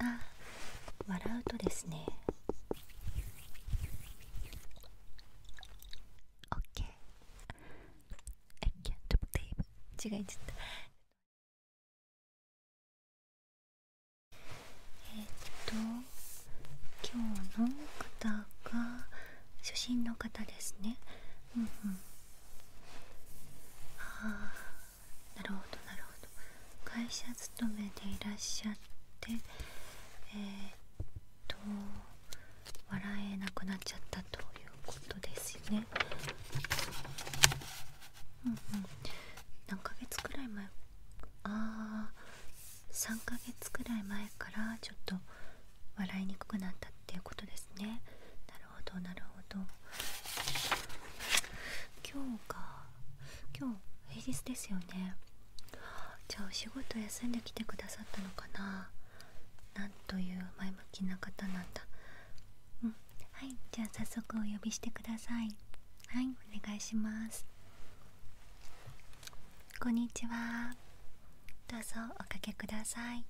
あ笑うとですね OK I can't believe 違いったえっと今日の方が初心の方ですねうんうんああなるほどなるほど会社勤めでいらっしゃってえっと笑えなくなっちゃったということですよねうんうん何ヶ月くらい前ああ3ヶ月くらい前からちょっと笑いにくくなったっていうことですねなるほどなるほど今日が今日平日ですよねじゃあお仕事休んできてくださったのかななんという前向きな方なんだうんはいじゃあ早速お呼びしてくださいはいお願いしますこんにちはどうぞおかけください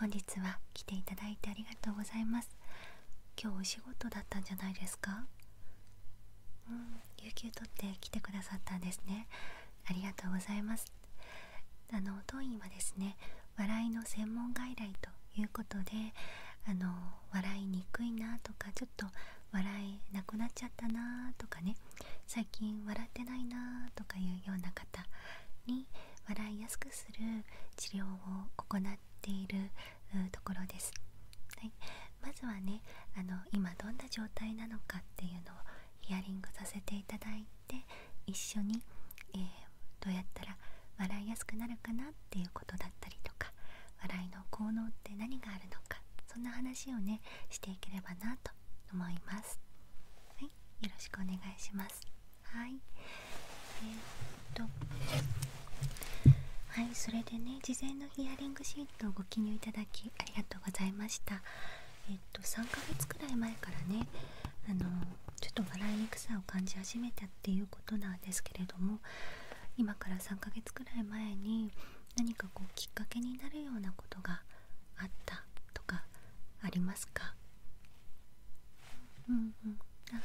本日は来ていただいてありがとうございます今日お仕事だったんじゃないですかうん有給取って来てくださったんですねありがとうございますあの当院はですね笑いの専門外来ということであの笑いにくいなとかちょっと笑えなくなっちゃったなとかね最近笑ってないなとかいうような方に笑いやすくする治療を行っているところです、はい、まずはねあの今どんな状態なのかっていうのをヒアリングさせていただいて一緒に、えどうやったら笑いやすくなるかなっていうことだったりとか笑いの効能って何があるのかそんな話をねしていければなと思います。はい、よろしくお願いします。はいえっとはいそれでね事前のヒアリングシートをご記入いただきありがとうございましたえっと3ヶ月くらい前からねあのちょっと笑いにくさを感じ始めたっていうことなんですけれども今から3ヶ月くらい前に何かこうきっかけになるようなことがあったとかありますかうんうんあ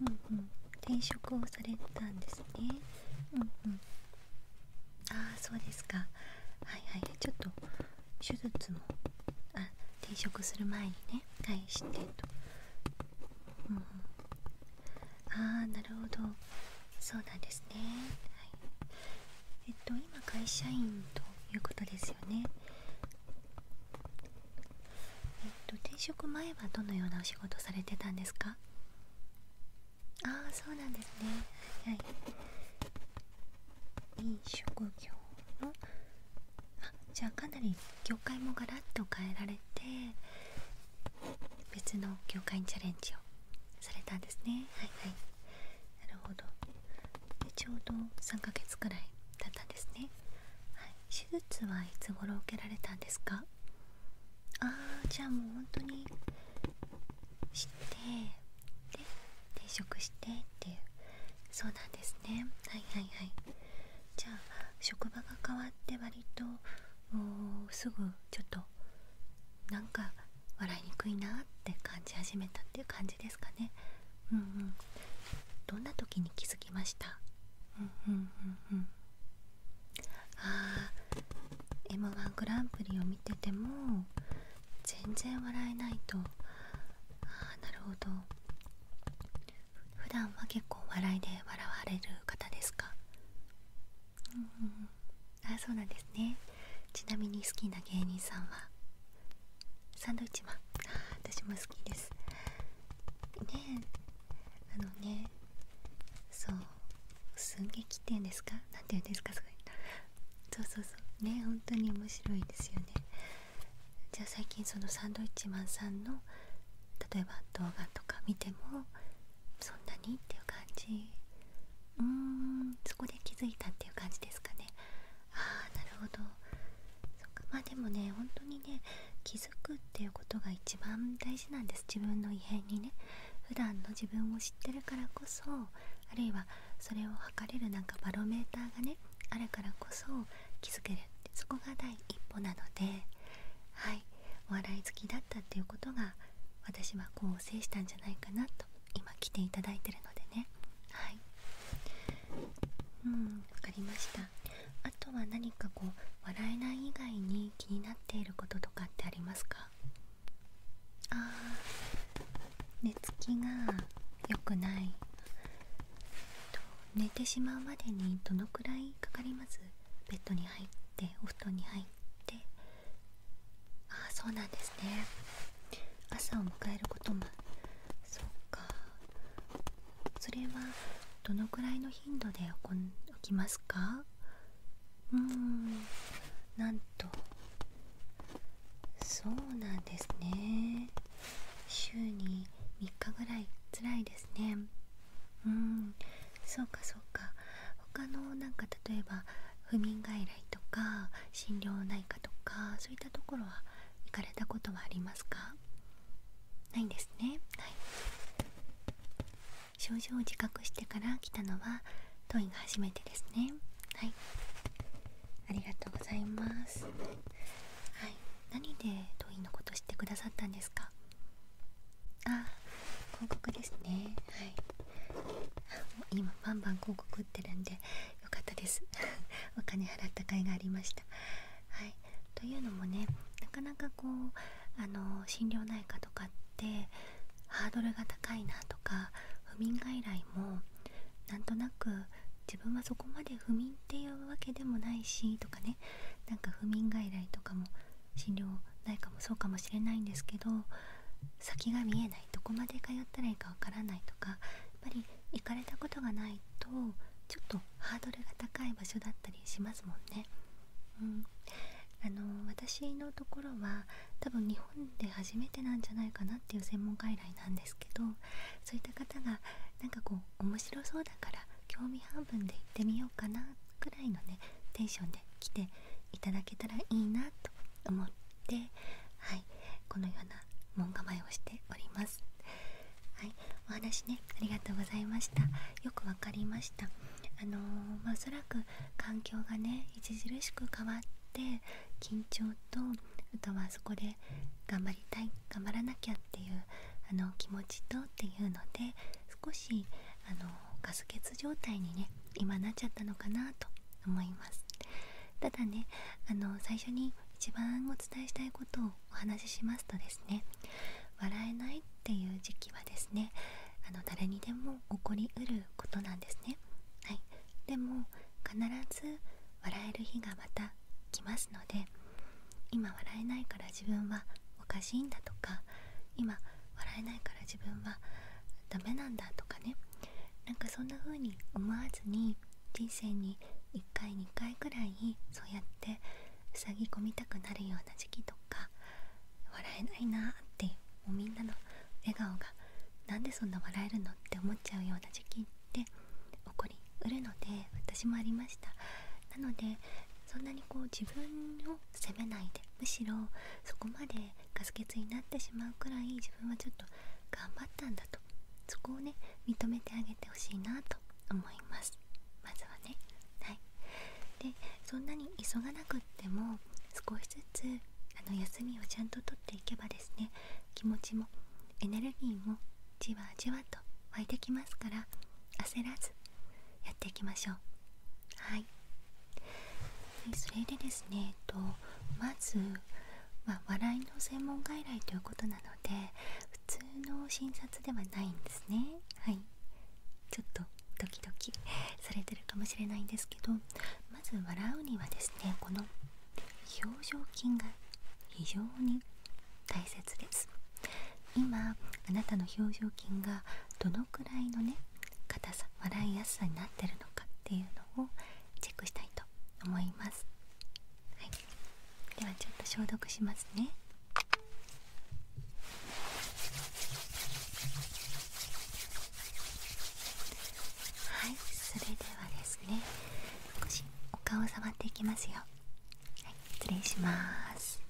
うんうん転職をされたんですねうんうんああそうですかはいはいちょっと手術もあ転職する前にね返してとうん、うん、ああなるほどそうなんですねはいえっと今会社員ということですよねえっと転職前はどのようなお仕事されてたんですかああそうなんですねはいい飲食業のあじゃあかなり業界もガラッと変えられて別の業界にチャレンジをされたんですねはいはいなるほどでちょうど3ヶ月くらいだったんですね、はい、手術はいつ頃受けられたんですかああじゃあもう本当にしてで転職してっていうそうなんですねはいはいはいじゃあ職場が変わって割ともうすぐちょっとなんか笑いにくいなって感じ始めたっていう感じですかねうんうんどんな時に気づきましたうんうんうんうんあー m 1グランプリを見てても全然笑えないとああなるほど普段は結構笑いで笑われる方ですかうんうんあそうなんですねちなみに好きな芸人さんはサンドイッチマン私も好きですねあのねそう寸劇っていうんですか何て言うんですかそれそうそうそうね本当に面白いですよねじゃあ最近そのサンドイッチマンさんの例えば動画とか見てもそんなにっていう感じうーんそこで気づいたっていう感じですかねああなるほどそっまあでもね本当にね気づくっていうことが一番大事なんです自分の異変にね普段の自分を知ってるからこそあるいはそれを測れるなんかバロメーターがねあるからこそ気づけるってそこが第一歩なのではいお笑い好きだったっていうことが私はこう制したんじゃないかなと今来ていただいてるのでねはいうん分かりましたあとは何かこう笑えない以外に気になっていることとかってありますかあー寝つきが良くない、寝てしまうまでにどのくらいかかりますベッドに入ってお布団に入ってああそうなんですね朝を迎えることもそっかそれはどのくらいの頻度で起きますかうーんなんとそうなんですね週に3日ぐらいつらいですねうんそうかそうか他のなんか例えば不眠外来とか心療内科とかそういったところは行かれたことはありますかないんですね、はい、症状を自覚してから来たのは当院が初めてですねはいありがとうございますはい何で当院のこと知ってくださったんですかあ広告ですねはい今バンバン広告打ってるんでよかったです お金払った甲斐がありましたはいというのもねなかなかこうあの心療内科とかってハードルが高いなとか不眠外来もなんとなく自分はそこまで不眠っていうわけでもないしとかねなんか不眠外来とかも診療内科もそうかもしれないんですけど先が見えないどこまで通ったらいいかわからないとかぱり行かれたことがないとちょっとハードルが高い場所だったりしますもんね。うん、あの私のところは多分日本で初めてなんじゃないかなっていう専門外来なんですけどそういった方がなんかこう面白そうだから興味半分で行ってみようかなくらいのねテンションで来ていただけたらいいなと思ってはいこのような門構えをしておりますはいお話ねありがとうございましたよくわかりましたあのまあおそらく環境がね著しく変わって緊張とあとはそこで頑張りたい頑張らなきゃっていうあの気持ちとっていうので少しあのガス欠状態にね今なっちゃったのかなと思いますただねあの最初に一番お伝えしたいことをお話ししますとですね笑えないっていう時期はですねあの誰にでも起こりうることなんですねはいでも必ず笑える日がまた来ますので今笑えないから自分はおかしいんだとか今笑えないから自分はダメなんだとかねなんかそんな風に思わずに人生に1回2回くらいそうやってふさぎ込みたくなるような時期とか笑えないなってもうみんなの笑顔が何でそんな笑えるのって思っちゃうような時期って起こりうるので私もありました。なのでそんなにこう自分を責めないでむしろそこまでガス欠になってしまうくらい自分はちょっと頑張ったんだとそこをね認めてあげてほしいなと思いますまずはねはいでそんなに急がなくっても少しずつあの休みをちゃんととっていけばですね気持ちもエネルギーもじわじわと湧いてきますから焦らずやっていきましょうはいそれでですねえっとまずま笑いの専門外来ということなので普通の診察ではないんですねはいちょっとドキドキ されてるかもしれないんですけどまず笑うにはですねこの表情筋が非常に大切です今あなたの表情筋がどのくらいのね硬さ笑いやすさになってるのかっていうのをチェックしたいと思いますはいではちょっと消毒しますねはいそれではですね少しお顔を触っていきますよはい失礼します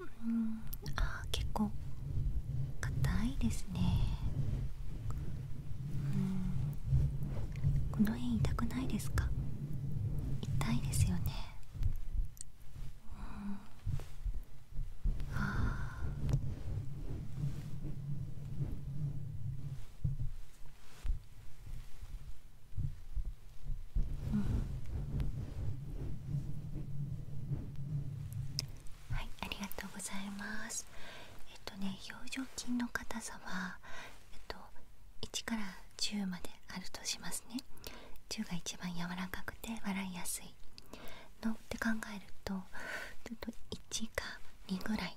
うんあは結構硬いですねうんこの辺痛くないですか痛いですよねうんはあうんはいありがとうございますえっとね表情筋の硬さはえっと1から10まであるとしますね10が一番柔らかくて笑いやすいのって考えるとちょっと1か2ぐらい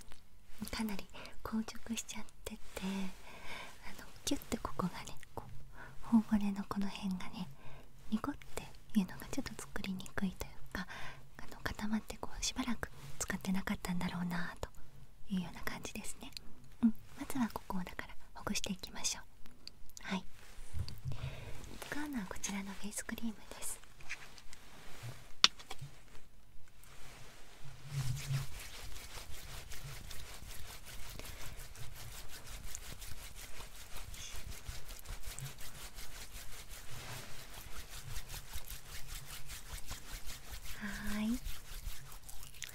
かなり硬直しちゃっててあのキュッてここがねこう頬骨のこの辺がね濁っていうのがちょっと作りにくいというかあの固まってこうしばらく使ってなかったんだろうなというような感じですね、うん、まずはここをだからほぐしていきましょうはい使うのはこちらのフェイスクリームですはいじゃ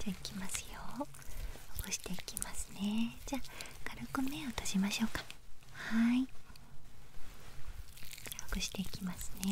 あいきますよほぐしていきますねじゃあ軽く目を閉じましょうかはいほぐしていきますね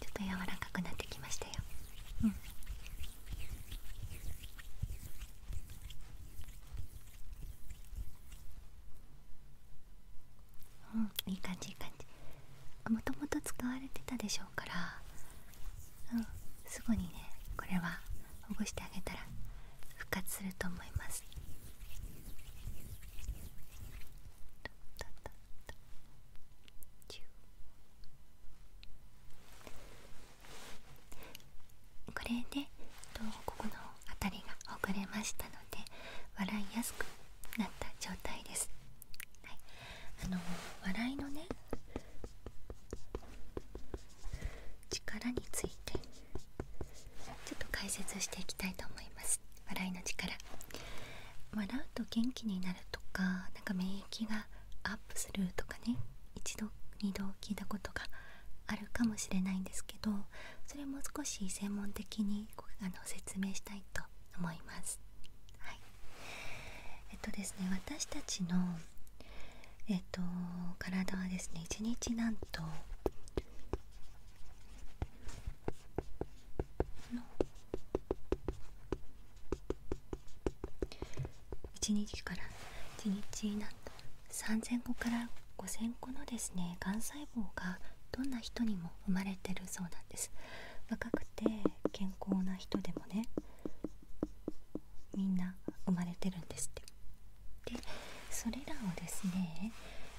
ちょっと柔らかくなってきましたよ、うん、いい感じいい感じもともと使われてたでしょうからうんすぐにねこれはほぐしてあげたら復活すると思いますこれでとここの辺りがほぐれましたので笑いやすくなった状態です、はい、あの笑いのね力についてちょっと解説していきたいと思います笑いの力笑うと元気になるとかなんか免疫がアップするとかね一度二度聞いたことがあるかもしれないんですけどそれも少し専門的にあの説明したいと思います。はい、えっとですね私たちの、えっと、体はですね1日なんと1日から1日なんと3000個から5000個のですねがん細胞がどんな人にも生まれてるそうなんです若くて健康な人でもねみんな生まれてるんですってでそれらをですね、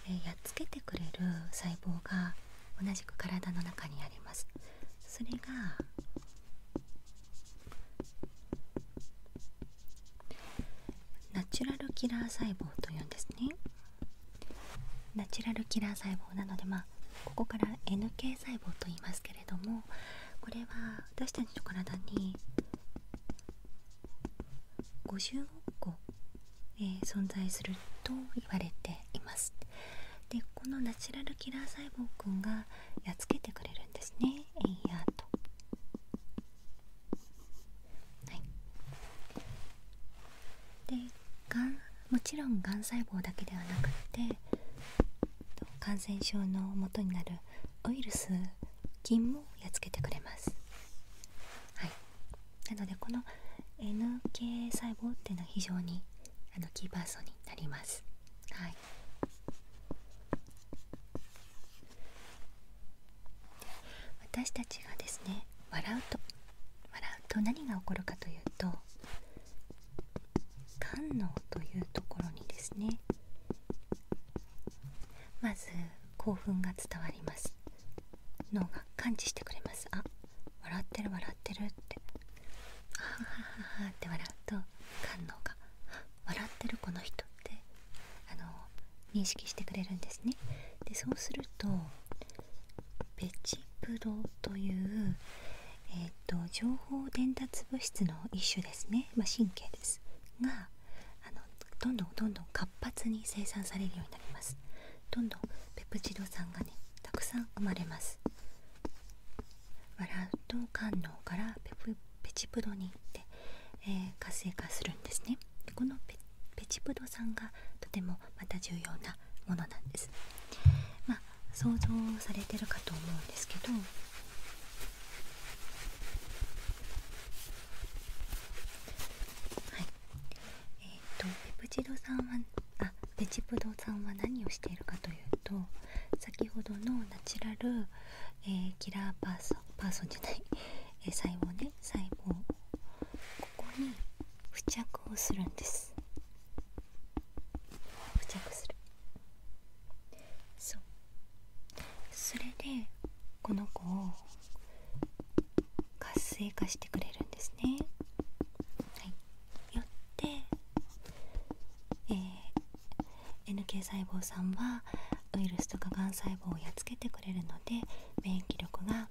えやっつけてくれる細胞が同じく体の中にありますそれがナチュラルキラー細胞というんですねナチュラルキラー細胞なのでまあここから NK 細胞と言いますけれどもこれは私たちの体に50個、え存在すると言われていますでこのナチュラルキラー細胞くんがやっつけてくれるんですねエイヤーとでがんもちろんがん細胞だけではなくて感染症の元になるウイルス菌もやっつけてくれますはいなのでこの NK 細胞っていうのは非常にあのキーパーソンになります。はい、私たちがですね笑うと笑うと何が起こるかというと肝能というところにですねまず興奮が伝わります脳が感知してくれますあ笑ってる笑ってるってあはははって笑うと官能が笑ってるこの人ってあの認識してくれるんですねでそうするとペチプロという、えーと、情報伝達物質の一種ですね、ま神経ですがあのどんどんどんどん活発に生産されるようになりますどんどんペプチド酸がねたくさん生まれますマラトン官からペチプドに行って、え活性化するんですねこのペペチプド酸がとてもまた重要なものなんですまあ想像されてるかと思うんですけどはいえっ、とペプチド酸はああベジブドさんは何をしているかというと先ほどのナチュラル、えキラーパーソンパーソンじゃない、え細胞ね細胞ここに付着をするんです付着するそうそれでこの子を活性化してくれるんですねはいよって、え NK 細胞さんはウイルスとかがん細胞をやっつけてくれるので免疫力が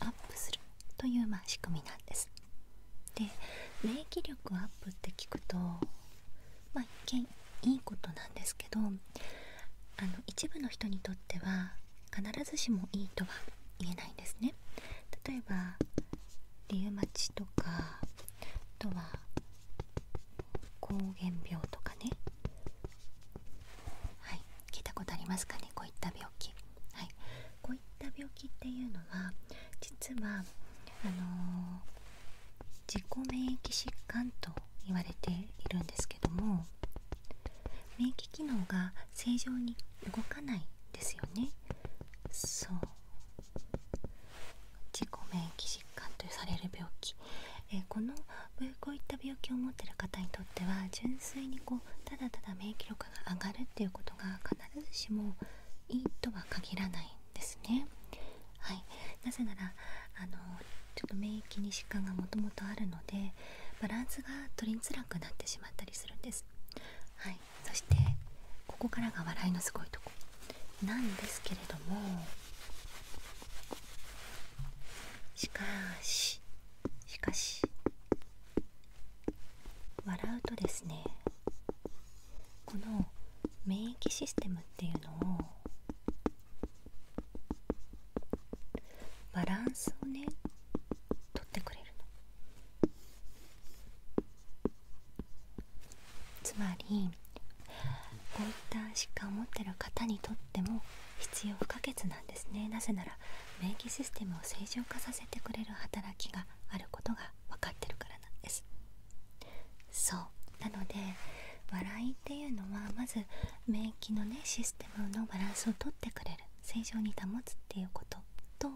アップするという、まあ、仕組みなんです。で免疫力アップって聞くと、まあ、一見いいことなんですけどあの一部の人にとっては必ずしもいいとは言えないんですね。例えばリウマチとかあとは膠原病とかねはい聞いたことありますかねこういった病気はいこういった病気っていうのは実はあの自己免疫疾患と言われているんですけども免疫機能が正常に動かないですよねそう自己免疫疾患とされる病気、えこのこういった病気を持ってる方にとっては純粋にこうただただ免疫力が上がるっていうことが必ずしもいいとは限らないんですね。はい、なぜならあのちょっと免疫に疾患がもともとあるのでバランスが取りづらくなってしまったりするんです。はい、そしてここからが笑いのすごいとこなんですけれどもしかししかし笑うとですねこの免疫システムっていうのをバランスをね取ってくれるのつまりこういった疾患を持ってる方にとっても必要不可欠なんですねなぜなら免疫システムを正常化させてくれる働きがあることが分かってるからなんですそうなので笑いっていうのはまず免疫のねシステムのバランスを取ってくれる正常に保つっていうことと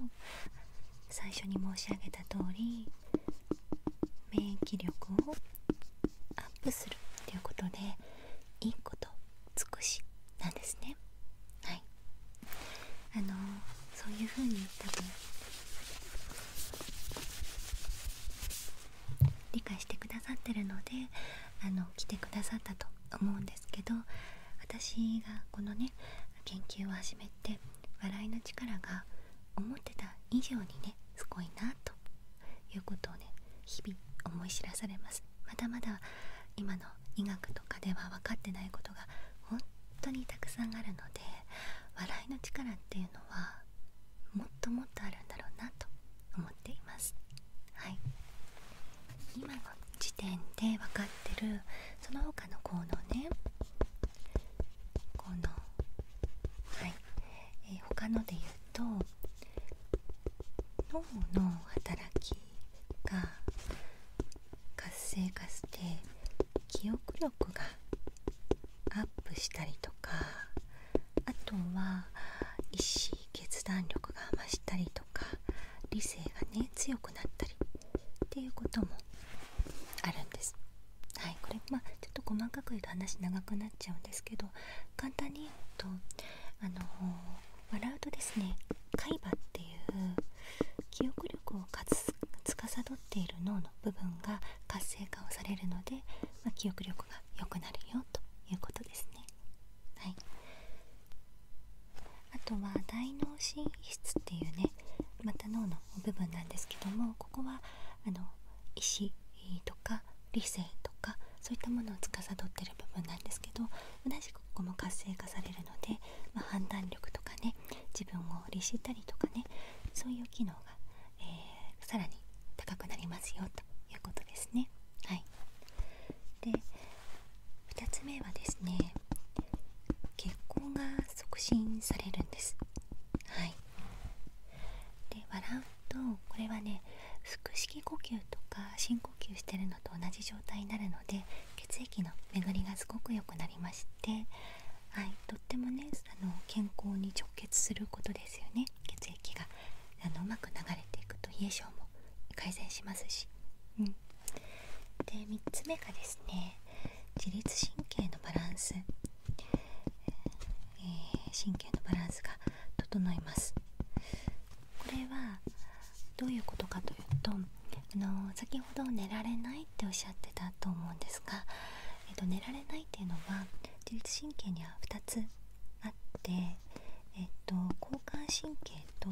最初に申し上げた通り免疫力をアップするっていうことでいいこと尽くしなんですねはいあのそういうふうに多分理解してくださってるのであの来てくださったと思うんですけど私がこのね研究を始めて笑いの力が思ってた以上にねすごいなということをね日々思い知らされますまだまだ今の医学とかでは分かってないことが本当にたくさんあるので笑いの力っていうのはもっともっとあるんだろうなと思っていますはい今時点で分かってるその他の効能ね効能はい、えー、他ので言うと脳の働きが活性化して記憶力がアップしたりとかあとは意思決断力が増したりとかと理性がね強くなったりていうこともあるんです。はいこれまちょっと細かく言うと話長くなっちゃうんですけど簡単に言うとあの笑うとですね海馬っていう記憶力をつかさどっている脳の部分が活性化をされるので、ま記憶力が良くなるよということですね。はい、あとは大脳神室っていうねまた脳の部分なんですけどもここはあの石とか理性とかそういったものを司ってる部分なんですけど同じくここも活性化されるので、ま判断力とかね自分を律したりとかねそういう機能が、えさらに高くなりますよということですね。はい、で2つ目はですね血行が促進されるんですはいで笑うとこれはね腹式呼吸とか深呼吸してるのと同じ状態になるので血液の巡りがすごく良くなりましてはいとってもねあの健康に直結することですよね血液があのうまく流れていくと冷え性も改善しますしで3つ目がですね自律神経のバランス、え神経のバランスが整いますこれはどういうことかというとあの先ほど寝られないっておっしゃってたと思うんですが、えっと、寝られないっていうのは自律神経には2つあって、えっと、交感神経と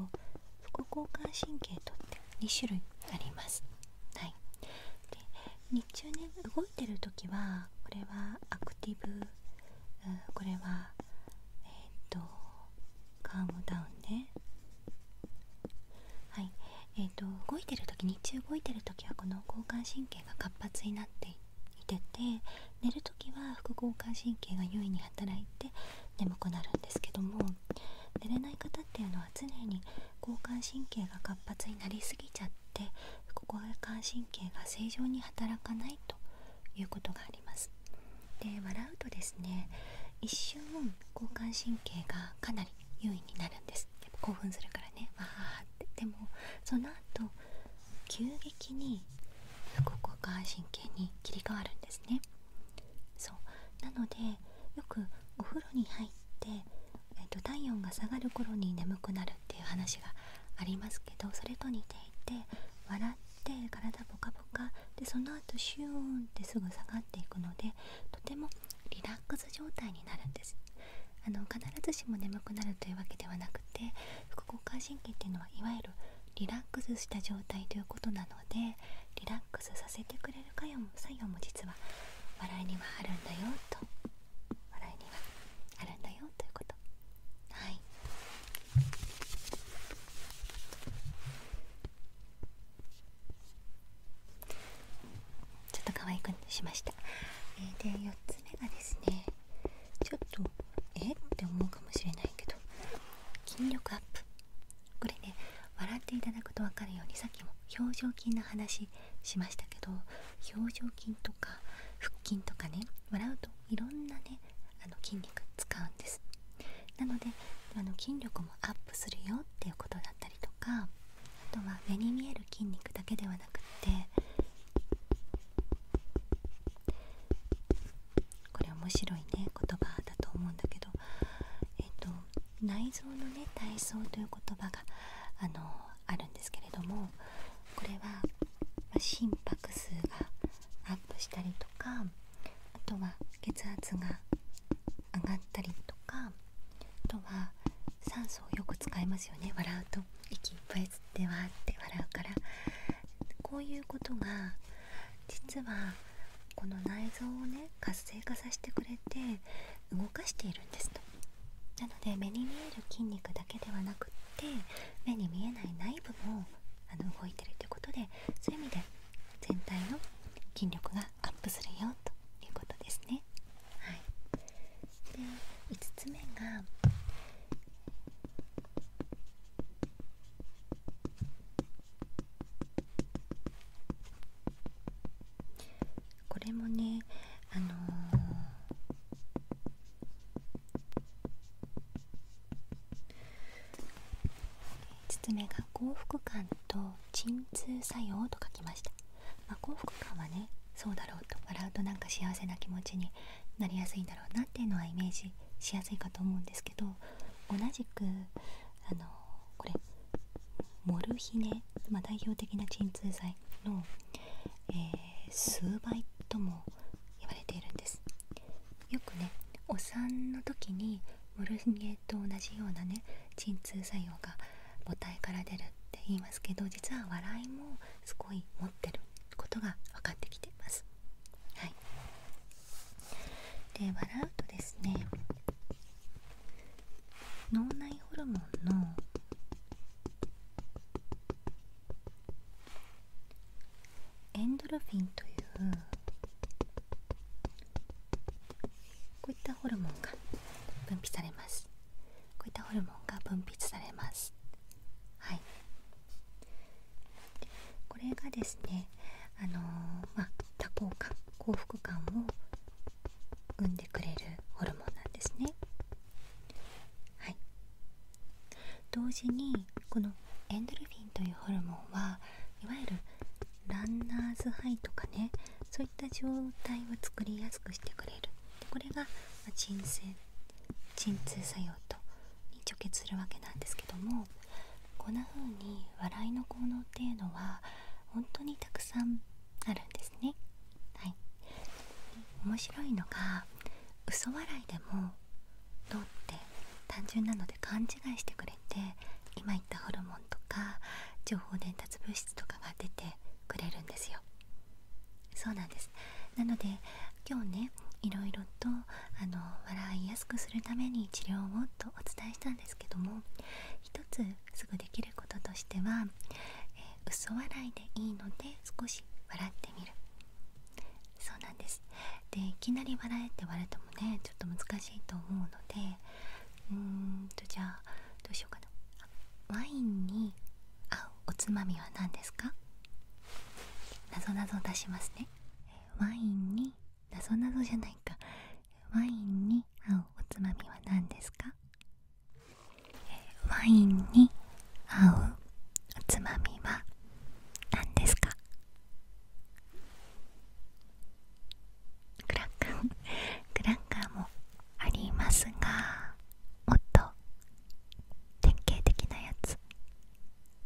副交感神経と2種類あります、はい、で日中ね動いてる時はこれはアクティブこれはえっ、ー、とカームダウンねはいえっ、と動いてる時日中動いてる時はこの交感神経が活発になっていてて寝る時は副交感神経が優位に働いて眠くなるんですけども寝れない方っていうのは常に交感神経が活発になりすぎちゃって交感神経が正常に働かないということがありますで笑うとですね一瞬交感神経がかなり優位になるんです興奮するからねわーってでもその後急激に副交感神経に切り替わるんですねそうなのでよくお風呂に入って、えー、と体温が下がる頃に眠くなるっていう話がありますけどそれと似ていて笑って体ポカポカでその後シューンってすぐ下がっていくのでとてもリラックス状態になるんですあの必ずしも眠くなるというわけではなくて副交感神経っていうのはいわゆるリラックスした状態ということなのでリラックスさせてくれる作用も実は笑いにはあるんだよと笑いにはあるんだよということはいちょっと可愛くしました、えで4つ目がですねちょっとえって思うかもしれないけど筋力アップこれね笑っていただくと分かるようにさっきも表情筋の話しましたけど表情筋とか腹筋とかね笑うといろんなねあの筋肉使うんですなのであの筋力もアップするよっていうことだったりとかあとは目に見える筋肉だけではなくってこれ面白いね言葉だと思うんだけど、えっと、内臓のね体操という言葉があのあるんですけれどもこれは、ま、心拍数がアップしたりとかあとは血圧が上がったりとかあとは酸素をよく使いますよね笑うと息いっぱい吸ってわーって笑うからこういうことが実はこの内臓をね活性化させてくれて動かしているんですとなので目に見える筋肉だけではなくって目に見えない内部もあの動いてるってうことでそういう意味で全体の筋力がアップするよということですね。はい、で5つ目がこれもねあのー、包めが幸福感と鎮痛作用と書きました、ま幸福感はねそうだろうと笑うとなんか幸せな気持ちになりやすいんだろうなっていうのはイメージしやすいかと思うんですけど同じくあのこれモルヒネ、ま代表的な鎮痛剤の、え数倍とも言われているんですよくねお産の時にモルヒネと同じようなね鎮痛作用が母体から出るって言いますけど実は笑いもすごい持ってることが分かってきてますはいで笑うとですね脳内ホルモンのエンドルフィンというこういったホルモンが分泌されますこういったホルモンが分泌されますはいこれがですねあのま多幸感幸福感を生んでくれるホルモンなんですねはい同時にこのエンドルフィンというホルモンはいわゆるランナーズハイとかねそういった状態を作りやすくしてくれるこれが鎮静鎮痛作用とに直結するわけなんですけどもこんな風に笑いの効能っていうのは本当にたくさんあるんですねはい面白いのが嘘笑いでもどうって単純なので勘違いしてくれて今言ったホルモンとか情報伝達物質とかが出てくれるんですよそうなんですなので今日ねいろとあの笑いやすくするために治療をとお伝えしたんですけども一つすぐできることとしては、え嘘笑いでいいので少し笑ってみるそうなんですでいきなり笑えって笑ってもねちょっと難しいと思うのでうーんとじゃあどうしようかなワインに合うおつまみは何ですかなぞなぞ出しますねワインにななぞじゃないかワインに合うおつまみは何ですかワインに合うおつまみは何ですかクラッカークラッカーもありますがもっと典型的なやつ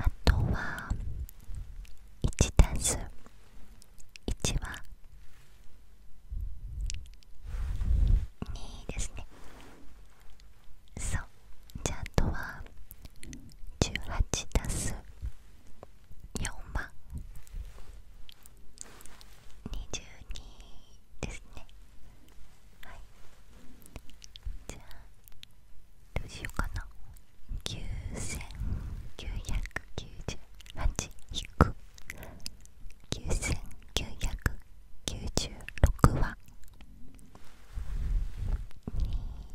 あとは1たす1は2ですねそうじゃああとは18たす4は22ですねはいじゃあどうしようかな9998 9996は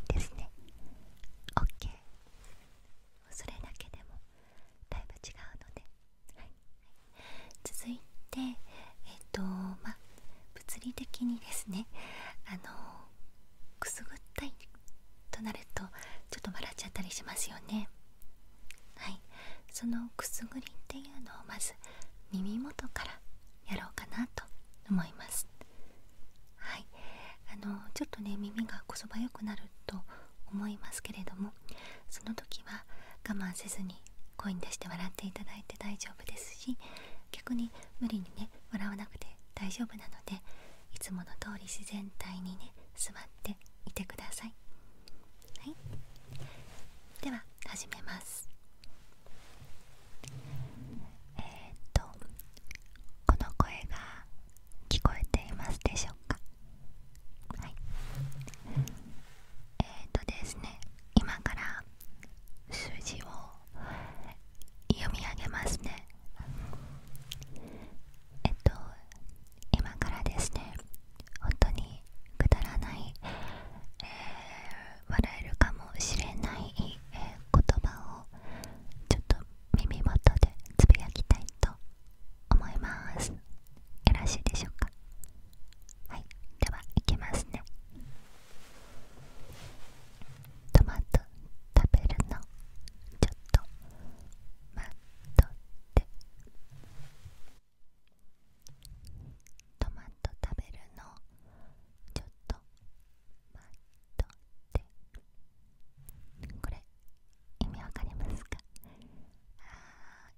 2ですね OK それだけでもだいぶ違うので、はい、続いてえっ、とま物理的にですねあのくすぐったいとなるとちょっと笑っちゃったりしますよねはいそのくすぐりっていうのをまず耳元からやろうかなと思いますはいあのちょっとね耳がこそばよくなると思いますけれどもその時は我慢せずに声に出して笑っていただいて大丈夫ですし逆に無理にね笑わなくて大丈夫なのでいつもの通り自然体にね座っていてくださいはいでは始めますえっとこの声が聞こえていますでしょうかはいえー、とですね今から数字を読み上げますねえっと今からですね本当にくだらない、え笑えるかもしれない、え言葉をちょっと耳元でつぶやきたいと思いますよろしいでしょうかはいではいきますねトマト食べるのちょっと待っとってトマト食べるのちょっと待っとってこれ意味わかりますかあ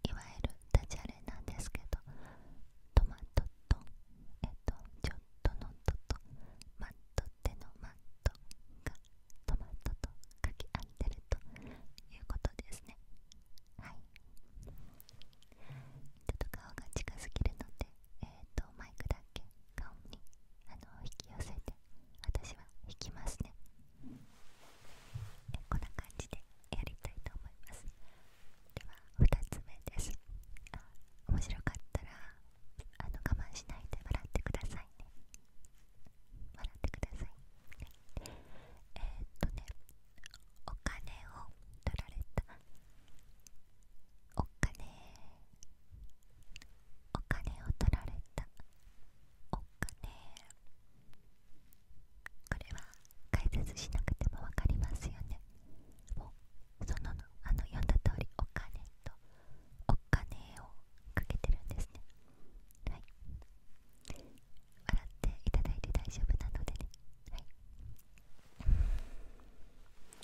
いわゆるダジャレなんですけどトマトとえっとょっとのととマット手のマットがトマトと掛き合ってるということですねはいちょっと顔が近すぎるのでえっ、とマイクだけ顔にあの引き寄せて私は引きますねこんな感じでやりたいと思います2つ目です面白かったらあの我慢しないで笑ってくださいね笑ってください、えっとねお金を取られたお金お金を取られたお金これは解説しなくても分かりますよねそのあの読んだ通りお金とお金をかけてるんですねはい笑っていただいて大丈夫なのでねはい、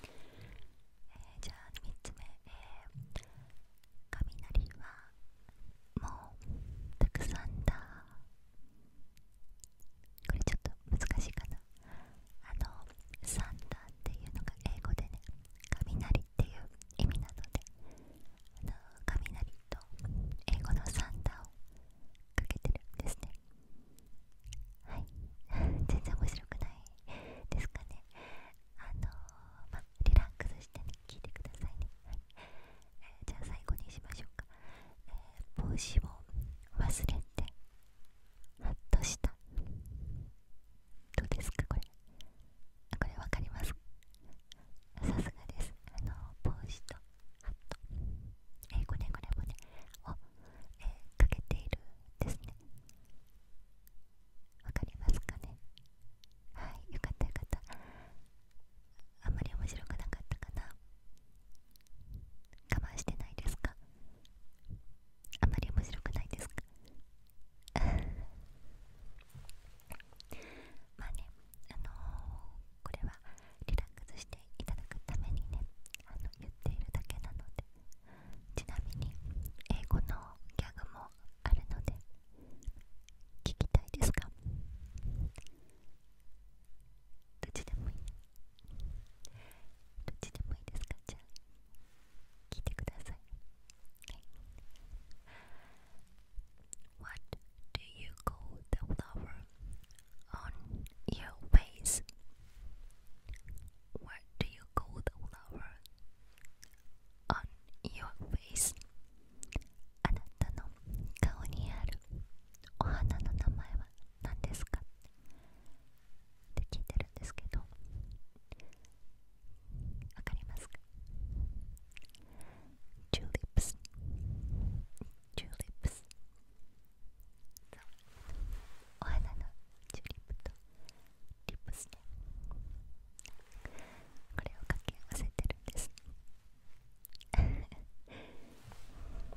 えー、じゃあ3つ目えー、雷はもうたくさんだこれちょっと難しいかなあのサンダーっていうのが英語でね雷っていう意味なのであの雷と英語のサンダーをかけてるんですねはい 全然面白くないですかねあのまリラックスしてね聞いてくださいね、はいじゃあ最後にしましょうか、えー、帽子を忘れてハッとしたどうですかこれこれわかりますさすがですあの帽子とハットえこれこれもねを、えかけているですねわかりますかねはいよかったよかったあんまり面白くなかったかな我慢してないですかあまり面白くないですか まあね、あのこれはリラックスしていただくためにねあの言っているだけなのでちなみに英語のギャグもあるので聞きたいですかどっちでもいいどっちでもいいですかじゃあ聞いてください、はい、What do you call the flower on your face? What do you call the flower on your face? あなたの顔にあるお花の名前は何ですかって聞いてるんですけどわかりますチューリップスチューリップスお花のチューリップとリップスねこれを掛け合わせてるんです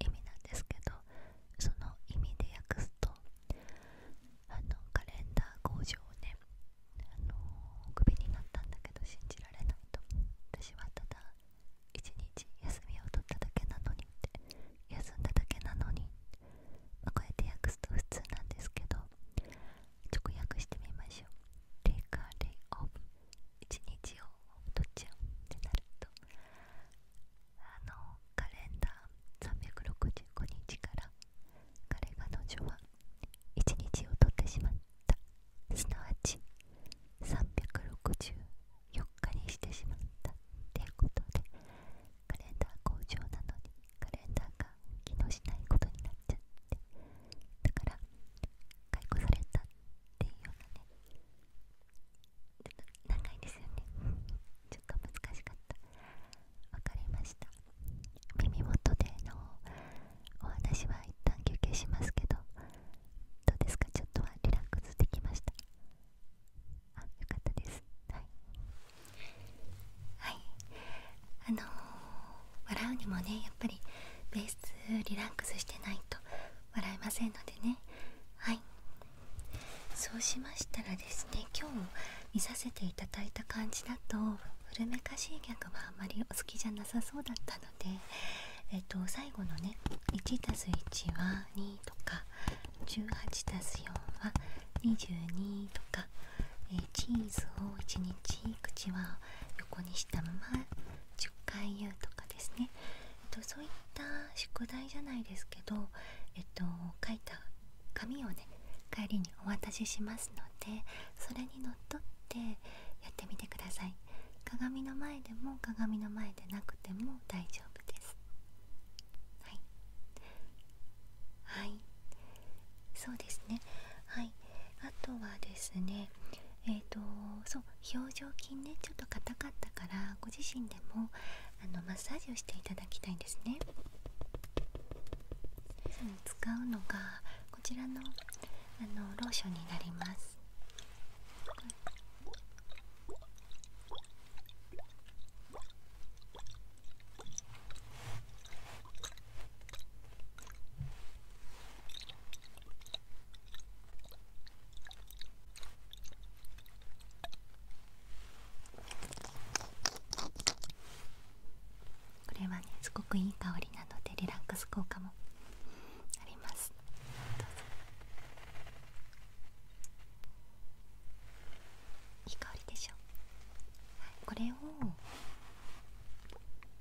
意味なんですけどその意味で訳すとあのカレンダー工場をねあのクビになったんだけど信じられないと私はただ一日休みを取っただけなのにって休んだだけなのに、まあ、こうやって訳すと普通なんですけど直訳してみましょう Take a 日をっちゃうってなるとあのカレンダー365日から彼彼女は1日を取ってしまったすなわち364日にしてしまったっていうことでカレンダー工場なのにカレンダーが機能しないことになっちゃってだから解雇されたっていうようなねちょっと長いですよねちょっと難しかったわかりました耳元でのお話は一旦休憩しますけどどうですかちょっとはリラックスできましたあよかったですはいはいあの笑うにもねやっぱりベースリラックスしてないと笑えませんのでねはいそうしましたらですね今日見させていただいた感じだと古めかしいギャグはあまりお好きじゃなさそうだったのでえっと最後のね 1+1 は2とか 18+4 は22とか、えチーズを1日口は横にしたまま10回言うとかですね、えっと、そういった宿題じゃないですけど、えっと、書いた紙をね帰りにお渡ししますのでそれにのっとってやってみてください鏡の前でも鏡の前でなくても大丈夫ですはいはいそうですねはいあとはですねえっ、とそう表情筋ねちょっと硬かったからご自身でもあのマッサージをしていただきたいんですね使うのがこちらのあのローションになりますこれはねすごくいい香りなのでリラックス効果もありますどうぞいい香りでしょ、これをっ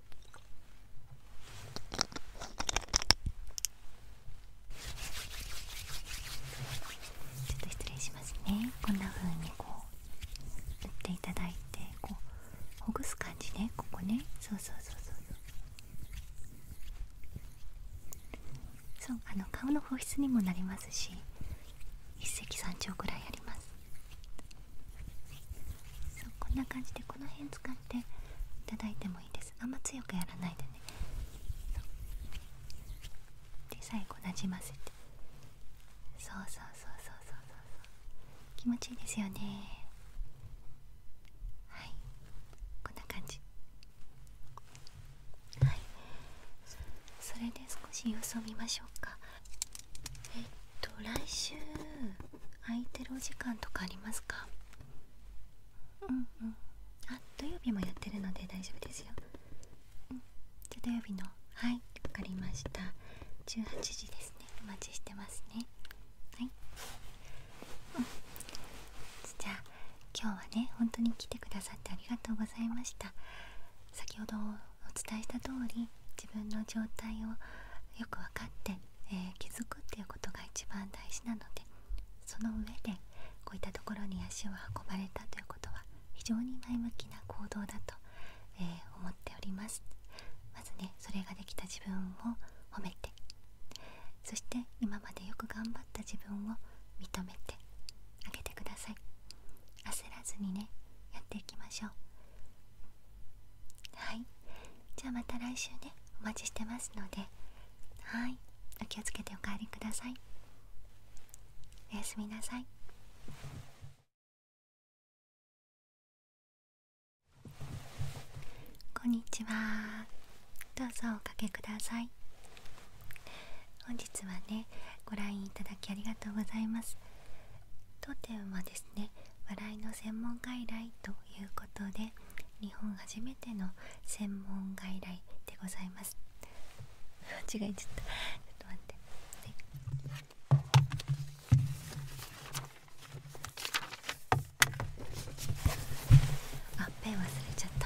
と失礼しますねこんな風にこう塗っていただいてこうほぐす感じでここねそうそうそうそうそうあの顔の保湿にもなりますし一石三鳥ぐらいありますそうこんな感じでこの辺使っていただいてもあんま強くやらないでねで最後なじませてそうそうそうそうそうそう気持ちいいですよねはいこんな感じはいそれで少し様子を見ましょうかえっと来週空いてるお時間とかありますかうんうんあ土曜日もやってるので大丈夫ですよ、うん、じゃ土曜日のはいわかりました18時ですねお待ちしてますねはい、うん、じゃあ今日はね本当に来てくださってありがとうございました先ほどお伝えした通り自分の状態をよく分かってえ気づくっていうことが一番大事なのでその上でこういったところに足を運ばれたということは非常に前向きな行動だと、え思っておりますまずねそれができた自分を褒めてそして今までよく頑張った自分を認めてあげてください焦らずにねやっていきましょうはいじゃあまた来週ねお待ちしてますのではいお気をつけてお帰りくださいおやすみなさいこんにちはどうぞおかけください本日はねご来院いただきありがとうございます当店はですね笑いの専門外来ということで日本初めての専門外来でございます 間違えちゃったちょっと待って、はい、あペン忘れちゃった